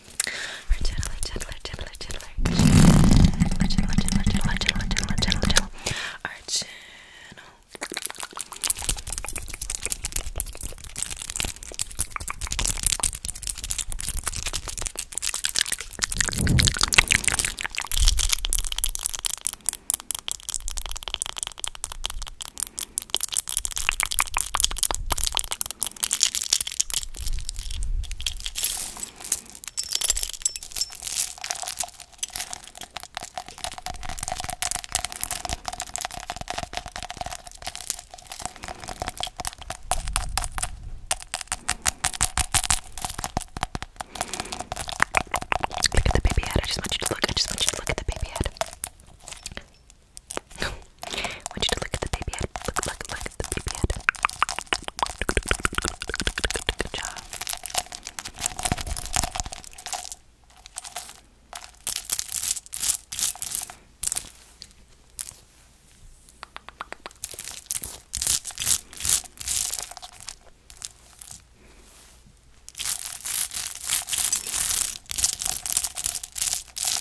or gentler, gentler, gentler, gentler, gentler, gentler, gentler, gentler, gentler, gentler, gentler, gentler, our channel. Look at the baby head. I just want you to look. I just want you to look at the baby head. I want you to look at the baby head. Look, look, look at the baby head. Good job. Good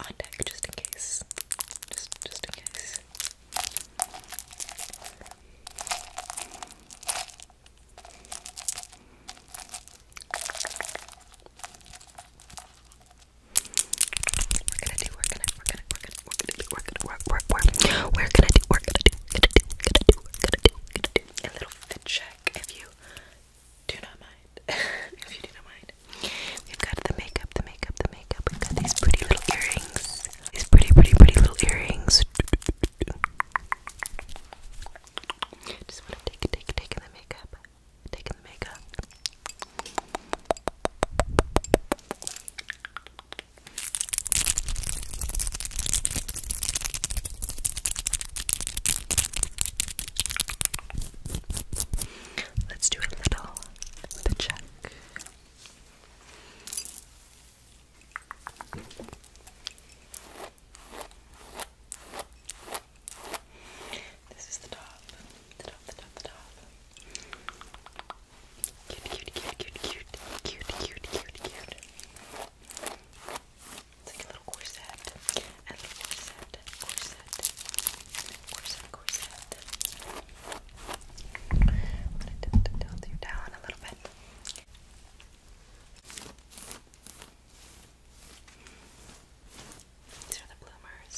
on deck just in case. Just just in case. We're gonna do, we're gonna, we're gonna, we're gonna, we're gonna do, we're gonna, we're, we're, we're, we're gonna do, we're gonna do, gonna do, gonna do, gonna gonna do, a little check if you do not mind. if you do not mind. We've got the makeup, the makeup, the makeup. We've got these pretty little earrings. These pretty, pretty, pretty little earrings. Just want to take, take, take the makeup. Take the makeup. Let's do a little the check. This is the top, the top, the top, the top. Cute, cute, cute, cute, cute, cute, cute, cute, cute. It's like a little corset, corset, corset, corset. I'm going to tilt you down a little bit. These are the bloomers.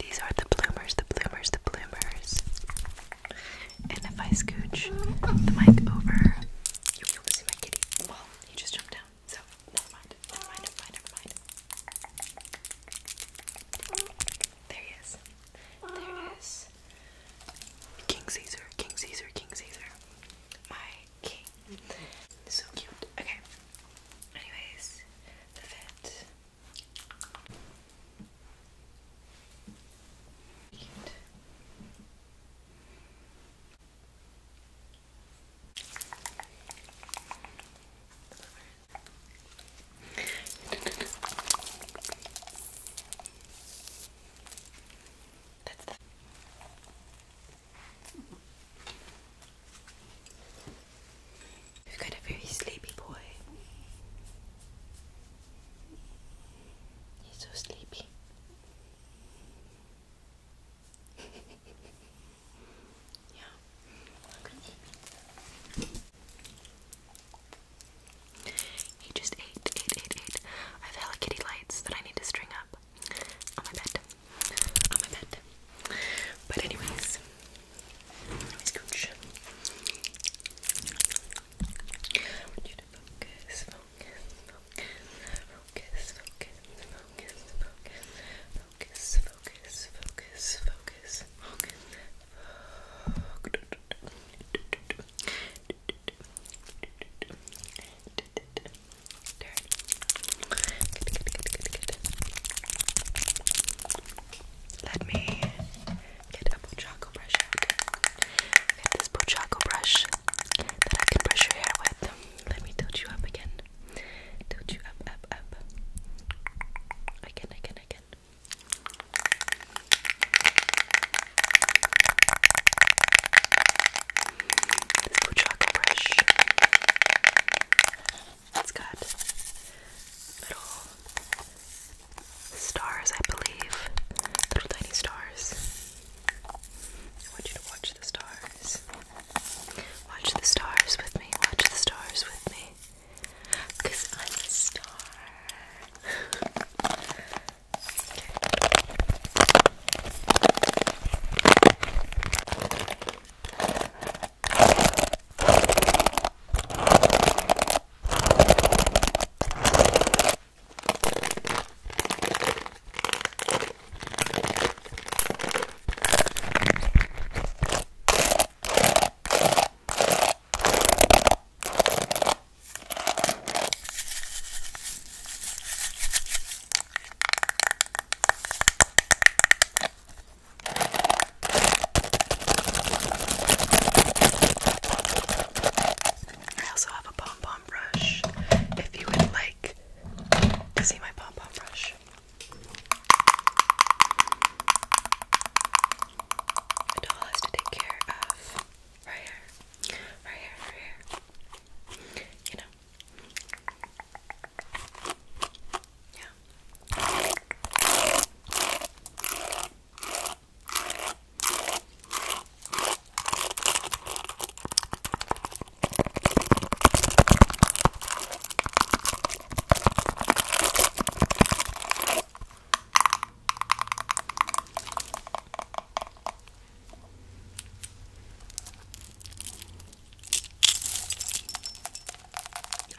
These are the bloomers, the bloomers, the bloomers. And if I scooch the mic over, you'll be able to see my kitty. Well, he just jumped down, so never mind. Never mind, never mind, never mind. There he is. There it is. King Caesar, King Caesar, King Caesar. My king. So cute. Okay. Anyways, the vet. We've got a very sleepy boy. He's so sleepy. Yeah. He just ate, I have Hello Kitty lights that I need to string up on my bed. On my bed. But anyways, anyways, Gooch. I focus, focus, focus, focus, focus, Focus, focus, focus, focus, focus. Let me get a Pochaco brush out. Get this Pochaco brush that I can brush your hair with. Let me tilt you up again. Tilt you up, up, up. Again, again, again. This blue brush. It's got little stars, I believe. Little tiny stars. I want you to watch the stars. Watch the stars with me. Watch the stars with me. Cause I'm a star. I also have a pom pom brush if you would like to see my pom pom brush. Doll has to take care of her hair, her hair, her hair. You know. Yeah. I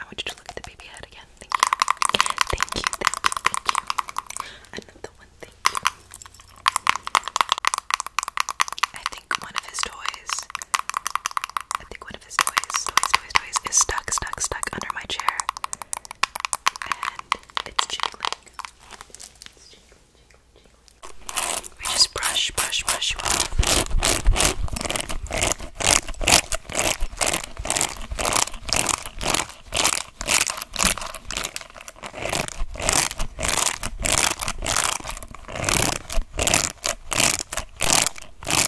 want you to look at the baby head again. Thank you. Thank you. Thank you. Thank you. Another one. Thank you. I think one of his toys I think one of his toys, toys, toys, toys is stuck, stuck, stuck under my chair. And it's jiggling. We just brush, brush, brush you off.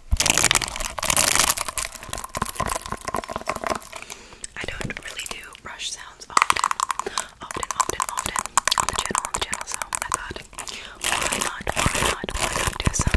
I don't really do brush sounds often, often, often, often on the channel, on the channel, so I thought, why not, why not, why not do some?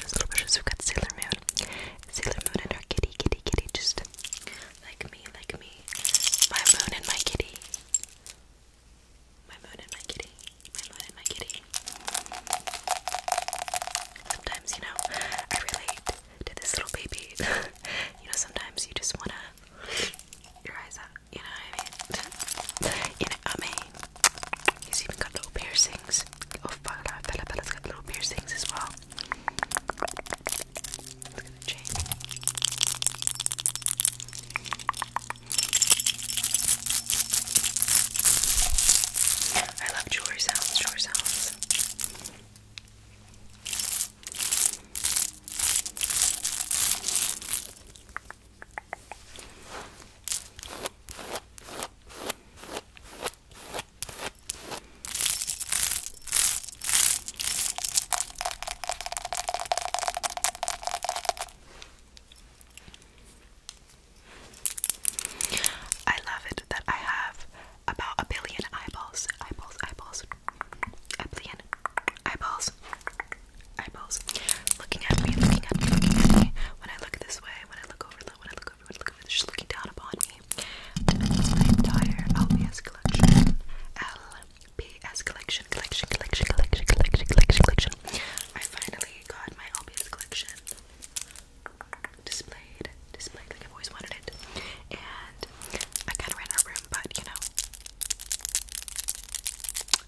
bushes, little bushes. We've got Sailor Moon, Sailor Moon and her kitty, kitty, kitty, just like me, like me. My moon and my kitty. My moon and my kitty. My moon and my kitty. Sometimes, you know, I relate to this little baby. you know, sometimes you just wanna your eyes up. You know what I mean? you know, I mean, He's even got little piercings. Oh, fuck! Bella, Bella's got little piercings as well. I love jewelry sounds, jewelry sounds. I love it that I have about a billion eyeballs, eyeballs, eyeballs, a billion eyeballs, eyeballs, looking at me, looking at me, looking at me. When I look this way, when I look over, when I look look looking down upon me. my entire LPS collection. LPS collection, collection, collection, collection, collection, collection, I finally got my LPS collection displayed, displayed like I've always wanted it. And I kind of ran out of room, but you know,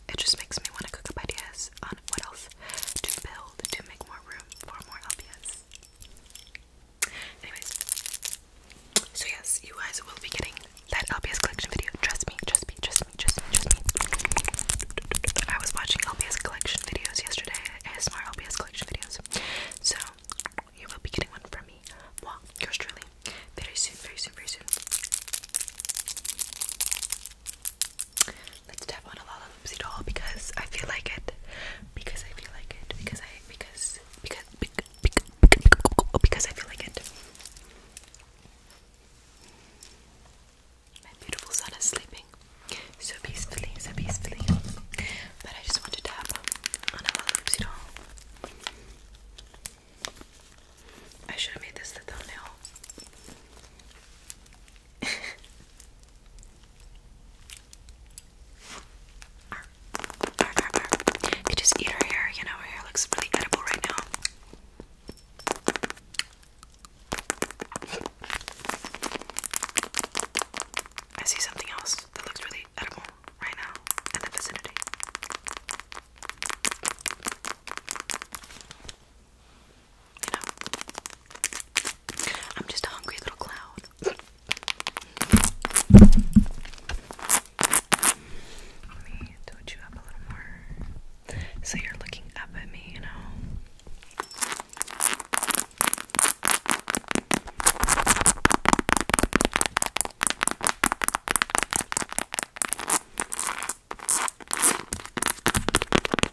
it just makes me want to cook up ideas. Um, on what else to build to make more room for more LPS. Anyways, so yes, you guys will be getting that LPS collection video. Trust me, trust me, trust me, trust me, trust me. I was watching LPS collection videos yesterday, ASMR LPS collection videos. So you will be getting one from me. Well, yours truly. Very soon, very soon, very soon. Let's tap on a Lollapalooza doll because I feel like it. Because I feel like it. Because I because because because, because I feel like it. My beautiful son is sleeping so peacefully, so peacefully. But I just want to tap on a Lollapalooza doll. I should have made this the thumbnail could just eat her hair, you know, her hair looks really edible right now. I see something else that looks really edible right now in the vicinity. I'm just a hungry little cloud. Let me touch you up a little more so you're looking up at me, you know.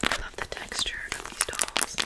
I love the texture of these dolls.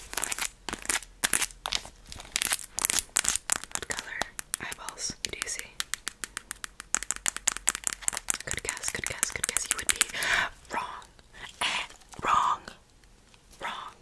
What color eyeballs do you see? Good guess, good guess, good guess. You would be wrong. Eh, wrong. Wrong.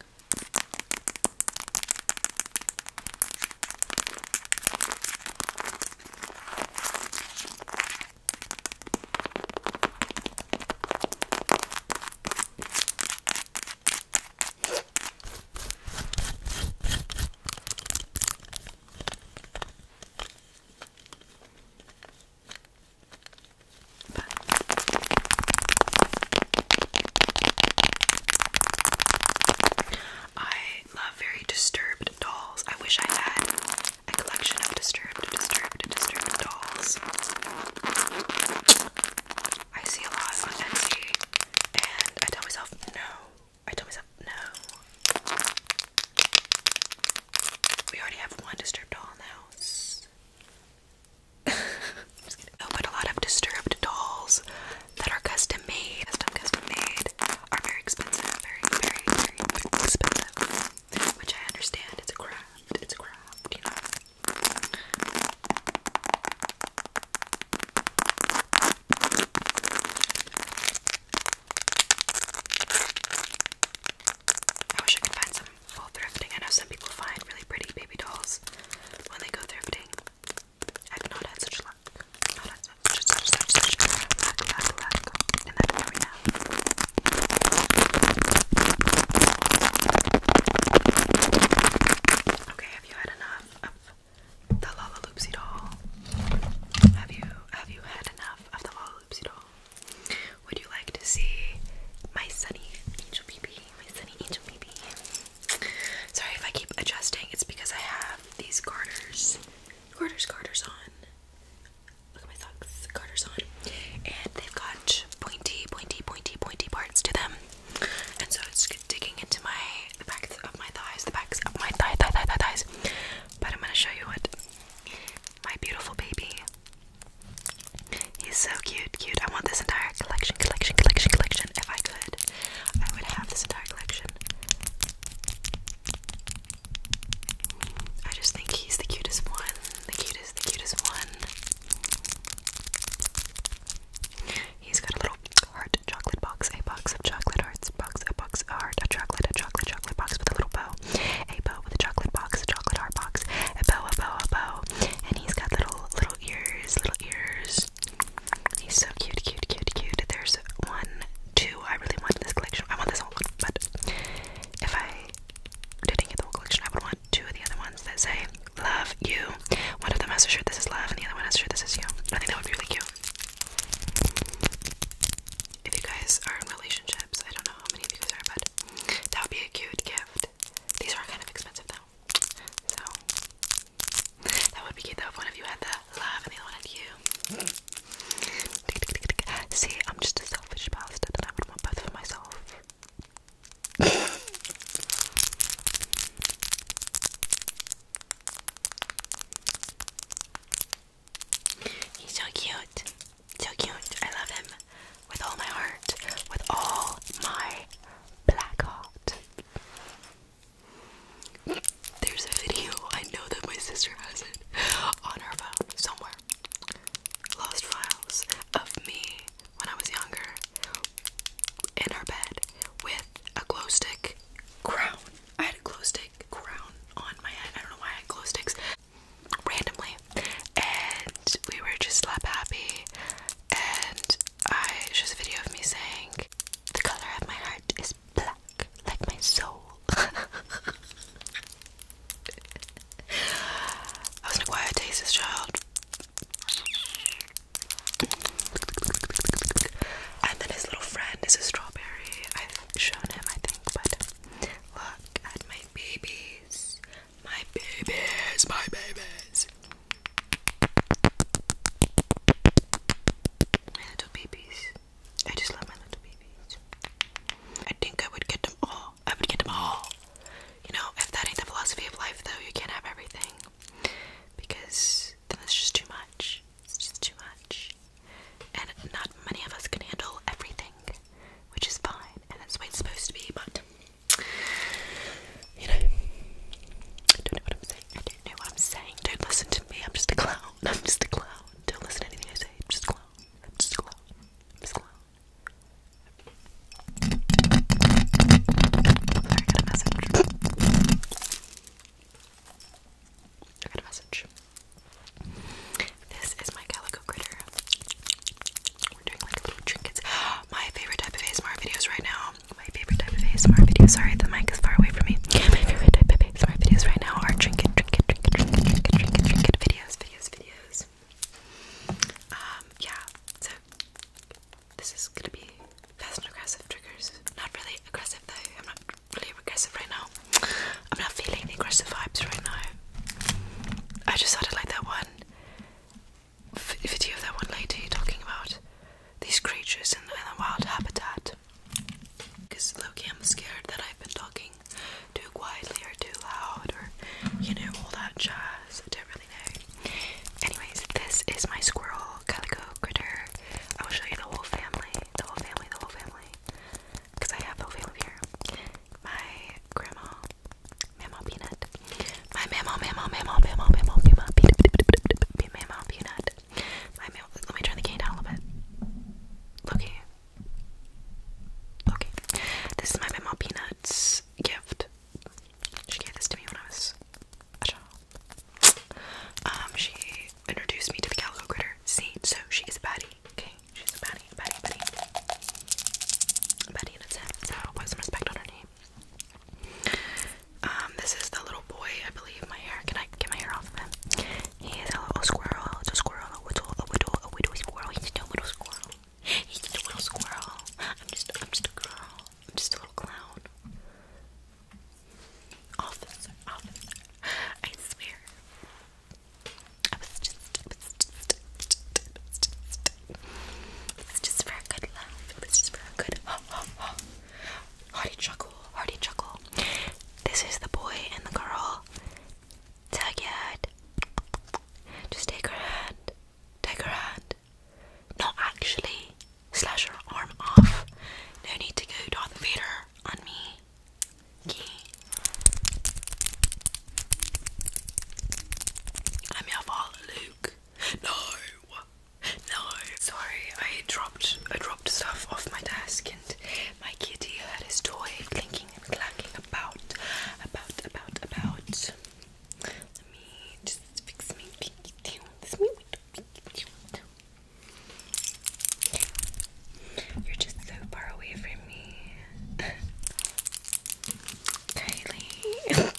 I love very disturbed dolls. I wish I had a collection of disturbed, disturbed, disturbed dolls. I see a lot on Etsy, and I tell myself no. I tell myself no. We already have one disturbed doll in the house. Just oh, but a lot of disturbed dolls that are custom made, custom made, are very expensive, very, very, very expensive. Which I understand, it's a crime it's craft, I wish I could find some full thrifting. I know some people find really pretty baby dolls when they go thrifting. I've not had such luck. Okay, have you had enough of the Lollaloopsy doll? Have you have you had enough of the Lollaloopsy doll? Would you like to see my sunny angel Baby? My sunny angel Baby. Sorry if I keep adjusting. It's because I have these garters, garters, garters on look at my socks, garters on, and they've got pointy, pointy, pointy, pointy parts to them. And so it's digging into my the backs of my thighs, the backs of my thigh, thigh, thigh, thighs. But I'm gonna show you what my beautiful baby. He's so cute, cute. I want this entire collection, collection, collection, collection. If I could, I would have this entire collection. I just think he's the cutest one the cutest, the cutest one. He's got a little heart chocolate box, a box of chocolate hearts, box, a box, a heart, a chocolate, a chocolate, chocolate box with a little bow, a bow with a chocolate box, a chocolate heart box, a bow, a bow, a bow, and he's got little, little ears, little ears. He's so cute, cute, cute, cute. There's one, two. I really want this collection. I want this whole one, but if I didn't get the whole collection, I would want two of the other ones that say love you. One of them has a shirt that says love, and the other one has a shirt that says you. I think that would be really cute. If you guys are in relationships, I don't know how many of you guys are, but that would be a cute gift. These are kind of expensive though. So that would be cute though if one of you had the love and the other one had you. See, I'm just a selfish bastard and I would want both for myself. He's so cute. So cute. I love him with all my heart, with all my black heart. There's a video, I know that my sister has it on her phone somewhere. Lost files of me when I was younger in her bed with a glow stick crown. I had a glow stick crown on my head. I don't know why I had glow sticks randomly. And we were just slap happy. And I it's just a video of me saying, The color of my heart is black, like my soul. I was an acquired taste child. And then his little friend is a strawberry. I've shown him, I think, but look at my babies. My babies, my babies. My little babies. I just love my little babies. I think I would get them all. I would get them all. You know, if that ain't the philosophy of life, though, you can't have everything. Because then it's just too much. It's just too much. And not many of us can handle everything, which is fine, and that's the way it's supposed to be, but. You know, I don't know what I'm saying. I don't know what I'm saying. Don't listen to me. I'm just a clown. I'm just a clown. Don't listen to anything I say. I'm just a clown. just a clown. I'm just a clown. I got a message. I got a message. This is my calico critter. We're doing like little trinkets. My favorite type of ASMR videos right now. My favorite type of ASMR videos. Sorry, the mic is far away from me. My favorite type of ASMR videos right now are trinket, trinket, trinket, trinket, trinket, trinket, trinket, trinket videos, videos, videos. Um, yeah, so this is gonna be fast and aggressive triggers. Not really aggressive though, I'm not really aggressive right now. I'm not feeling the aggressive vibes right now. I just thought I like that one video that one lady talking about these creatures in, the wild habitat. Because Loki, I'm scared that I've been talking talking too quietly or too loud or you know all that jazz. I don't really know. Anyways, this is my squirrel calico critter. I will show you the whole family, the whole family, the whole family, because I have the whole family here. My grandma, Mama Peanut, my Mama, Mama, Mama, Mama, Mama, Mama Peanut, Mama Peanut. My mama, let me turn the cane down a little bit. Loki, Okay, this is my Memo Peanuts gift. She gave this to me when I was a child. Um, she introduced me to the Calico Critter. See, so she is a baddie. Okay, she's a baddie, a baddie, a baddie. A baddie in its head, so put some respect on her name. Um, this is the little boy, I believe. My hair, can I get my hair off of him? He is a little squirrel, it's a squirrel, a whittle, a whittle, a whittle squirrel. He's a little squirrel. He's the little squirrel. I'm just, I'm just a girl. I'm just a little clown. Officer, officer. I swear. I was just, I was just, I was just, it was just for a good laugh. It was just for a good ha ha ha. Hearty chuckle, hearty chuckle. This is the boy and the girl Tag your head. Just take her hand. Take her hand. Not actually. Slash her arm off. No need to go Darth Vader on me. Okay. I'm your father, Luke. No. No. Sorry, I dropped I dropped stuff off my desk and my kitty had his toy clinking clacking and clacking about, about, about, about. me just fix my pinky down. This me pinky down. You're just so far away from me. Kylie.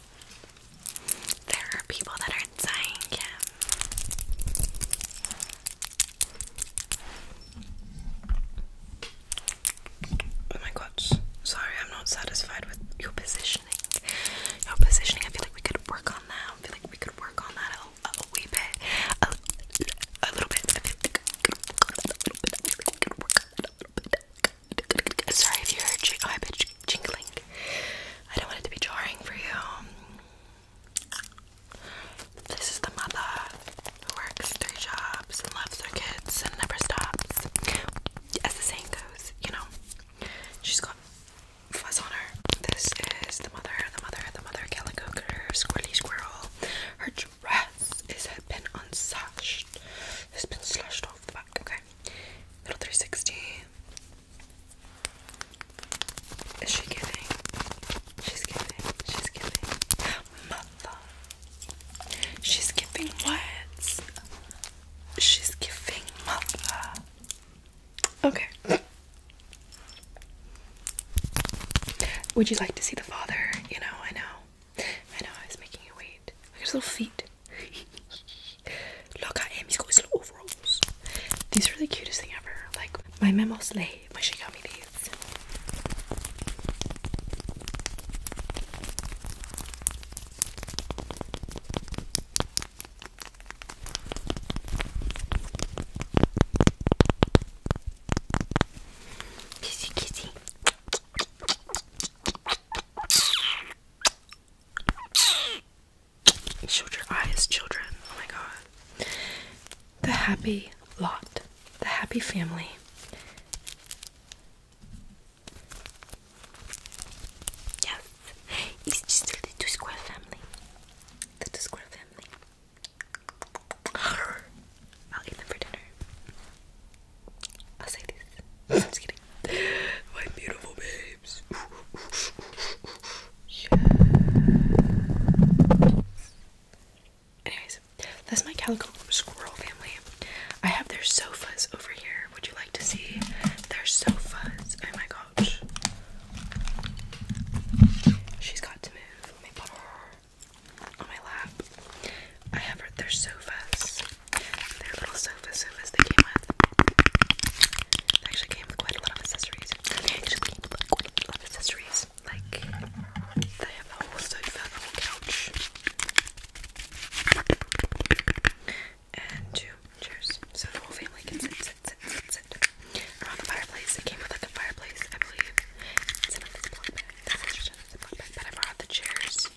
there are people that are dying Oh my god. Sorry, I'm not satisfied with your positioning. Your positioning, I feel like we could work on that. I feel like we could work on that a, little bit. a little bit. Sorry if you heard jing oh, jingling. I don't want it to be jarring for you. This is the mother who works three jobs and loves her kids and never stops. As the saying goes, you know, she's got fuzz on her. This is the mother, the mother, the mother calico critter, squirrely squirrel. Her dress is has been unsashed. It's been slushed off the back. Okay, little 360. Is she giving? She's giving. She's giving mother. She's giving words. She's giving mother. Okay. Would you like to see the father? You know, I know. I know, I was making you wait. Look at his little feet. Look at him, he's got his little overalls. These are the cutest thing ever. Like, my memo slave, when she got me these. Kissy kissy. Shut your eyes, children. Oh my god. The happy lot. The happy family. Yes, it's just the two square family. The two square family. I'll eat them for dinner. I'll say this. am just kidding. My beautiful babes. yes. Anyways, that's my calico squirrel family. I have their sofas over here. Would you like to see their sofas? Oh my gosh. She's got to move. on my lap. I have her their sofas. Their little sofa sofas they came with. They actually came with quite a lot of accessories. They actually came with quite a lot of accessories. Like they have the whole sofa, whole couch. And two chairs. So the whole family can sit, sit, sit, sit, sit. Around the fireplace. It came with like a fireplace, I believe. It's in a block bag. That's interesting. It's a block bag. But I brought the chairs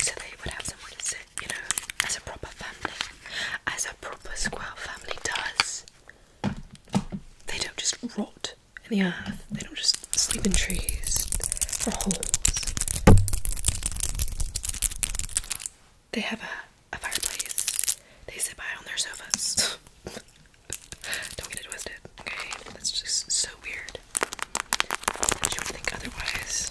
so they would have somewhere to sit, you know, as a proper family. As a proper squirrel family does. They don't just rot in the earth. They don't just sleep in trees or holes. They have a, a fireplace. They sit by on their sofas. don't get it twisted, okay? That's just so weird. That you think otherwise.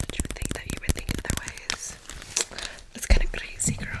That you think that you would think otherwise. That's kind of crazy, girl.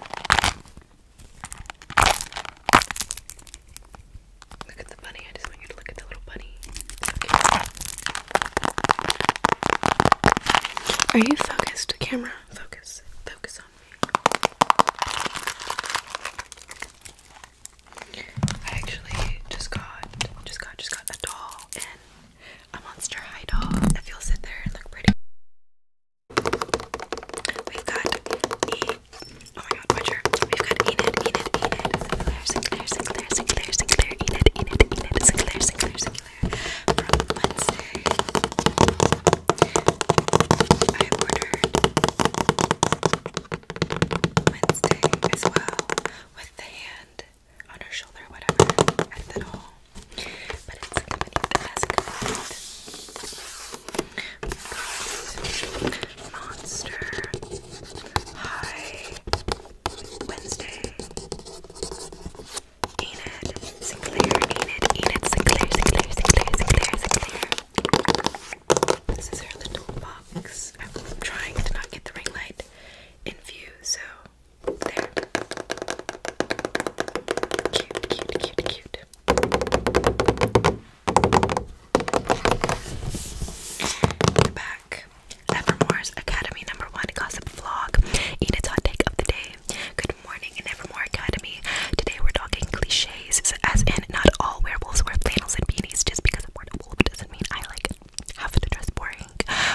Look at the bunny. I just want you to look at the little bunny. Are you focused? Camera, focus. Focus on me. I actually just got, just got, just got a doll and a Monster High doll. If you sit there and look pretty. We've got E. Oh my god, Butcher. We've got Enid, Enid, Enid. Singular, singular, singular, singular, singular, Enid, Enid, Enid. Singular, singular, singular. From Wednesday, I ordered Wednesday as well with the hand on her shoulder, whatever, ethanol. Monster High Wednesday. Enid Sinclair, Enid, Enid Sinclair, Sinclair, Sinclair, Sinclair, Sinclair. This is her little box. I'm trying to not get the ring light in view, so there. Cute, cute, cute, cute. back. Evermore's Academy number one gossip vlog. Enid's hot take of the day. Good morning in Evermore Academy. Today we're talking cliches, as in not all werewolves wear flannels and beanies. Just because I'm a wolf doesn't mean I like have to dress boring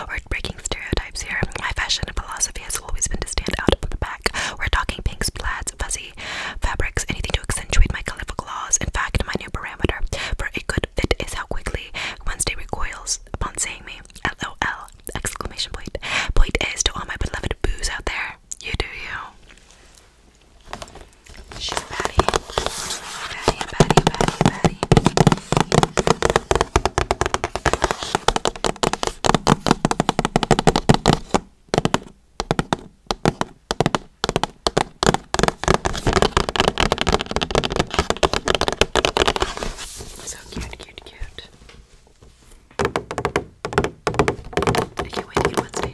or breaking stereotypes here. My fashion philosophy has always been to stand out from the pack. We're talking pinks, plaids, fuzzy fabrics, anything to accentuate my colorful laws. In fact, my new parameter for a good fit is how quickly Wednesday recoils upon seeing me. LOL! Exclamation point. Point is to all my beloved boos out there. You do you. She's Patty. Patty, Patty, Patty, Patty. So cute, cute, cute. I can't wait to get Wednesday.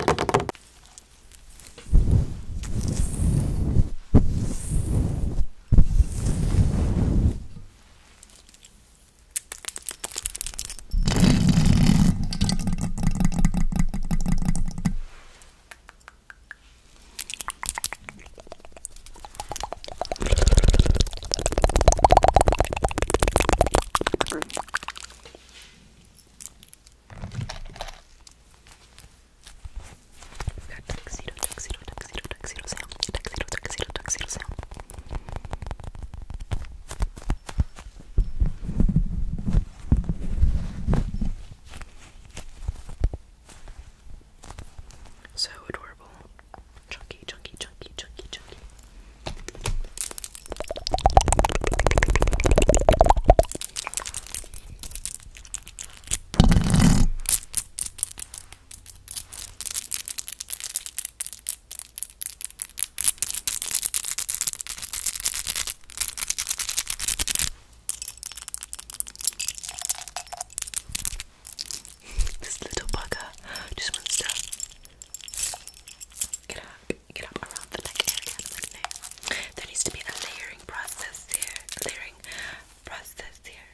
Tuxedo, tuxedo, tuxedo, tuxedo sound, tuxedo, tuxedo, tuxedo sound. So adorable. Chunky, chunky, chunky, chunky, chunky. this little bugger just wants to get up, get up around the neck area. there needs to be a layering process here, a layering process here.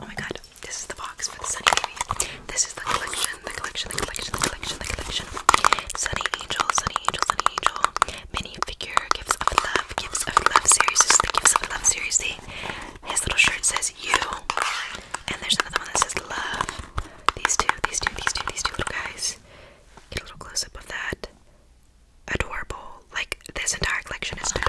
Oh my god, this is the box for the Sunny Baby. This is the collection, the collection, the collection, the collection, the collection. Sunny Angel, Sunny Angel, Sunny Angel minifigure Gifts of Love, Gifts of Love series. This is the Gifts of Love series. See, his little shirt says you, and there's another one that says love. These two, these two, these two, these two little guys. Get a little close up of that. Adorable. Like, this entire collection is an for.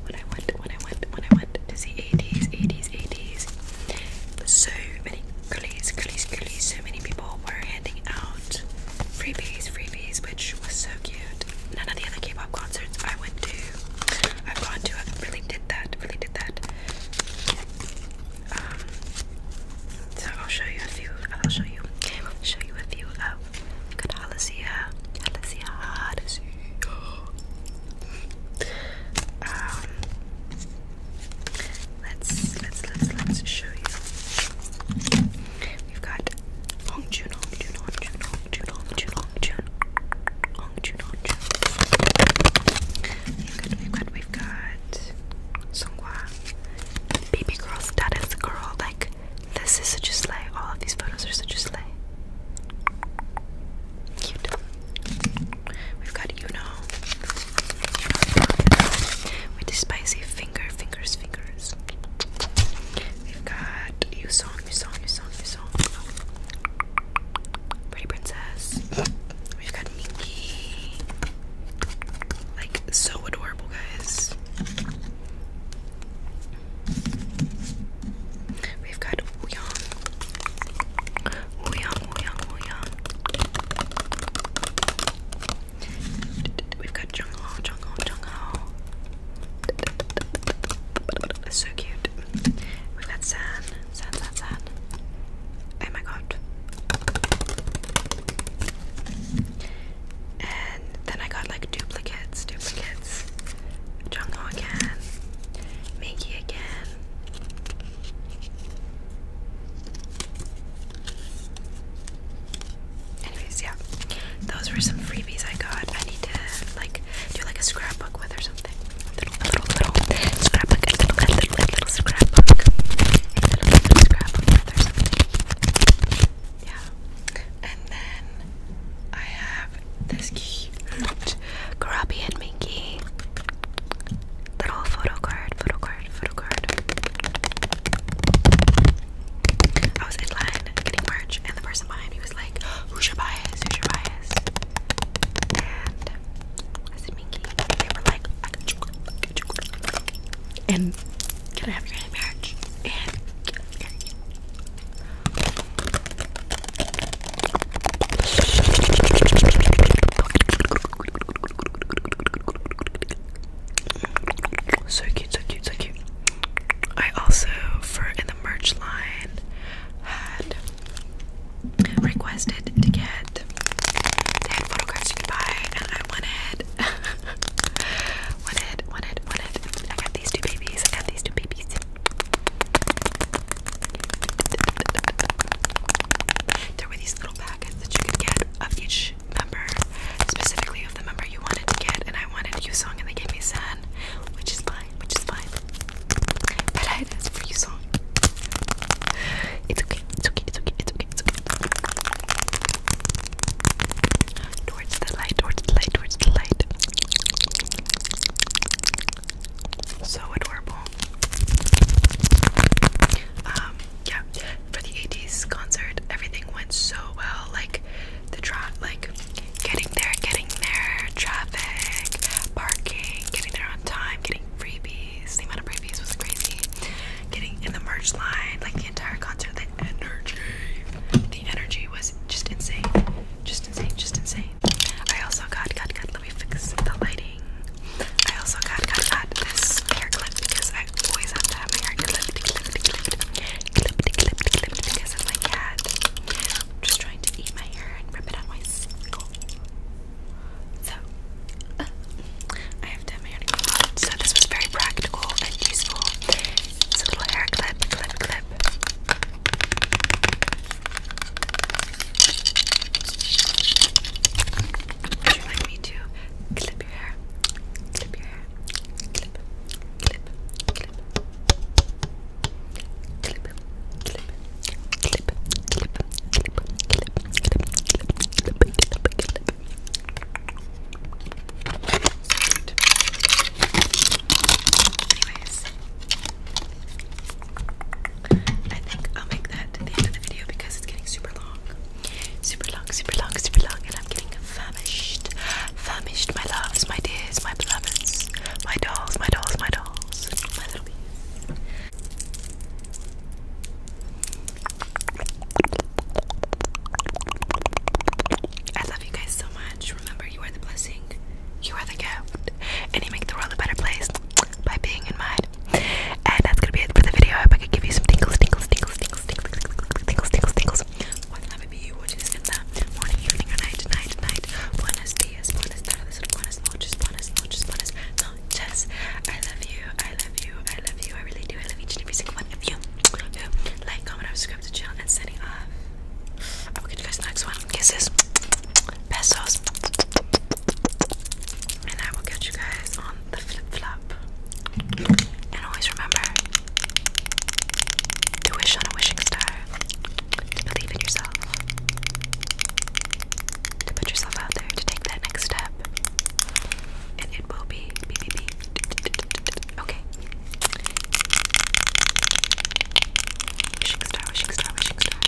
When I went, when I went, when I went to see 80s, 80s, 80s, so many girlies, girlies, girlies, so many people were handing out freebies, freebies, which was so cute. None of the other K-pop concerts I went to, I've gone to, I've really did that, really did that. Um, so I'll show you a few. I'll show you. show you a few of good Halasia, Halasia, Halasia. Um, let's let's let's let's show you. We've got Hong Juno, Juno, Juno. June, on June, on June, on June, on June. We've got, we've got, we've got Songhwa. Baby girl status girl. Like this is such a slay. All of these photos are such a slay. Cute. We've got you know. With the spicy finger, fingers, fingers guys. We've got You Song, You Song, You Song, You Song. Pretty Princess. We've got Nikki. Like, so adorable, guys. We've got Wooyoung. Wooyoung, Wooyoung, Wooyoung. We've got Jungho, Jungho, Jungho. So cute. We've got sand, sand, sand, sand. Oh my god. And then I got like duplicates, duplicates. Jungo again. Miki again anyways, yeah, those were some freebies I got. I need to like do like a scrapbook with or something. A little, a little, a little scrapbook, a little, a little, a little scrapbook, a little, little scrapbook with or something. Yeah, and then I have this cute Karabi and Minky little photo card, photo card, photo card. I was in line getting merch, and the person behind me he was like, who's your bias? Who's your bias? And I said, Minky. And they were like, I got you. I got you. And can I have your hand in marriage? And so cute, so cute, so cute. I also, for in the merch line, had requested to get they had you could buy, and I wanted, wanted, wanted, wanted. I got these two babies. I got these two babies. There were these little packets that you could get of each member, specifically the member you wanted to get, and I wanted you song, and they gave me sad, which is fine, which is fine. But I asked for you song. It's okay, it's okay, it's okay, it's okay, Towards the light, towards the light, towards the light. So adorable. Um, yeah, for the 80s concert, everything went so well. Like the track, like getting there, getting there, traffic, parking, getting there on time, getting freebies. The amount of freebies was crazy. Getting in the merch line, like the entire concert, the energy. The energy was just insane. Just insane, just insane. I also got, God. got, let me fix the lighting. I also got, God. got this hair clip because I always have to have my hair clipped, clipped, clipped clippity, clippity, clippity because of my cat. I'm just trying to eat my hair and rip it on my skull. So, uh, I have done my hair clip. So this was very practical and useful. It's a little hair clip, clip, clip. Would you like me to clip your hair? Clip your hair. Clip, clip, I think I'll make that at the end of the video because it's getting super long. Super long, super long, super long, and I'm getting famished. Famished, my loves, my dears, my beloveds, my dolls, my dolls, my dolls, my little I love you guys so much. Remember, you are the blessing, you are the gift, and you make the world a better place by being in mine. And that's gonna be it for the video. I I could give you some tingles, tingles, tingles, tingles, tingles, tingles, tingles, tingles, tingles of you, which is in the morning, evening, or night, night, night. Buenos dias, buenas tardes, buenas noches, buenas noches, buenas noches. I love you, I love you, I love you, I really do. I love each and every single one of you who like, comment, subscribe to the channel, and signing off. I will catch you guys next one. Kisses, pesos, and I will catch you guys on the flip flop. And always remember, to wish on a wishing star. To believe in yourself. To put yourself out there. To take that next step. And it will be. be, be, be. Okay. Wishing star, wishing star, wishing star.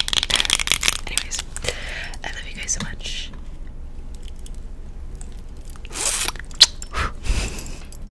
Anyways, I love you guys so much.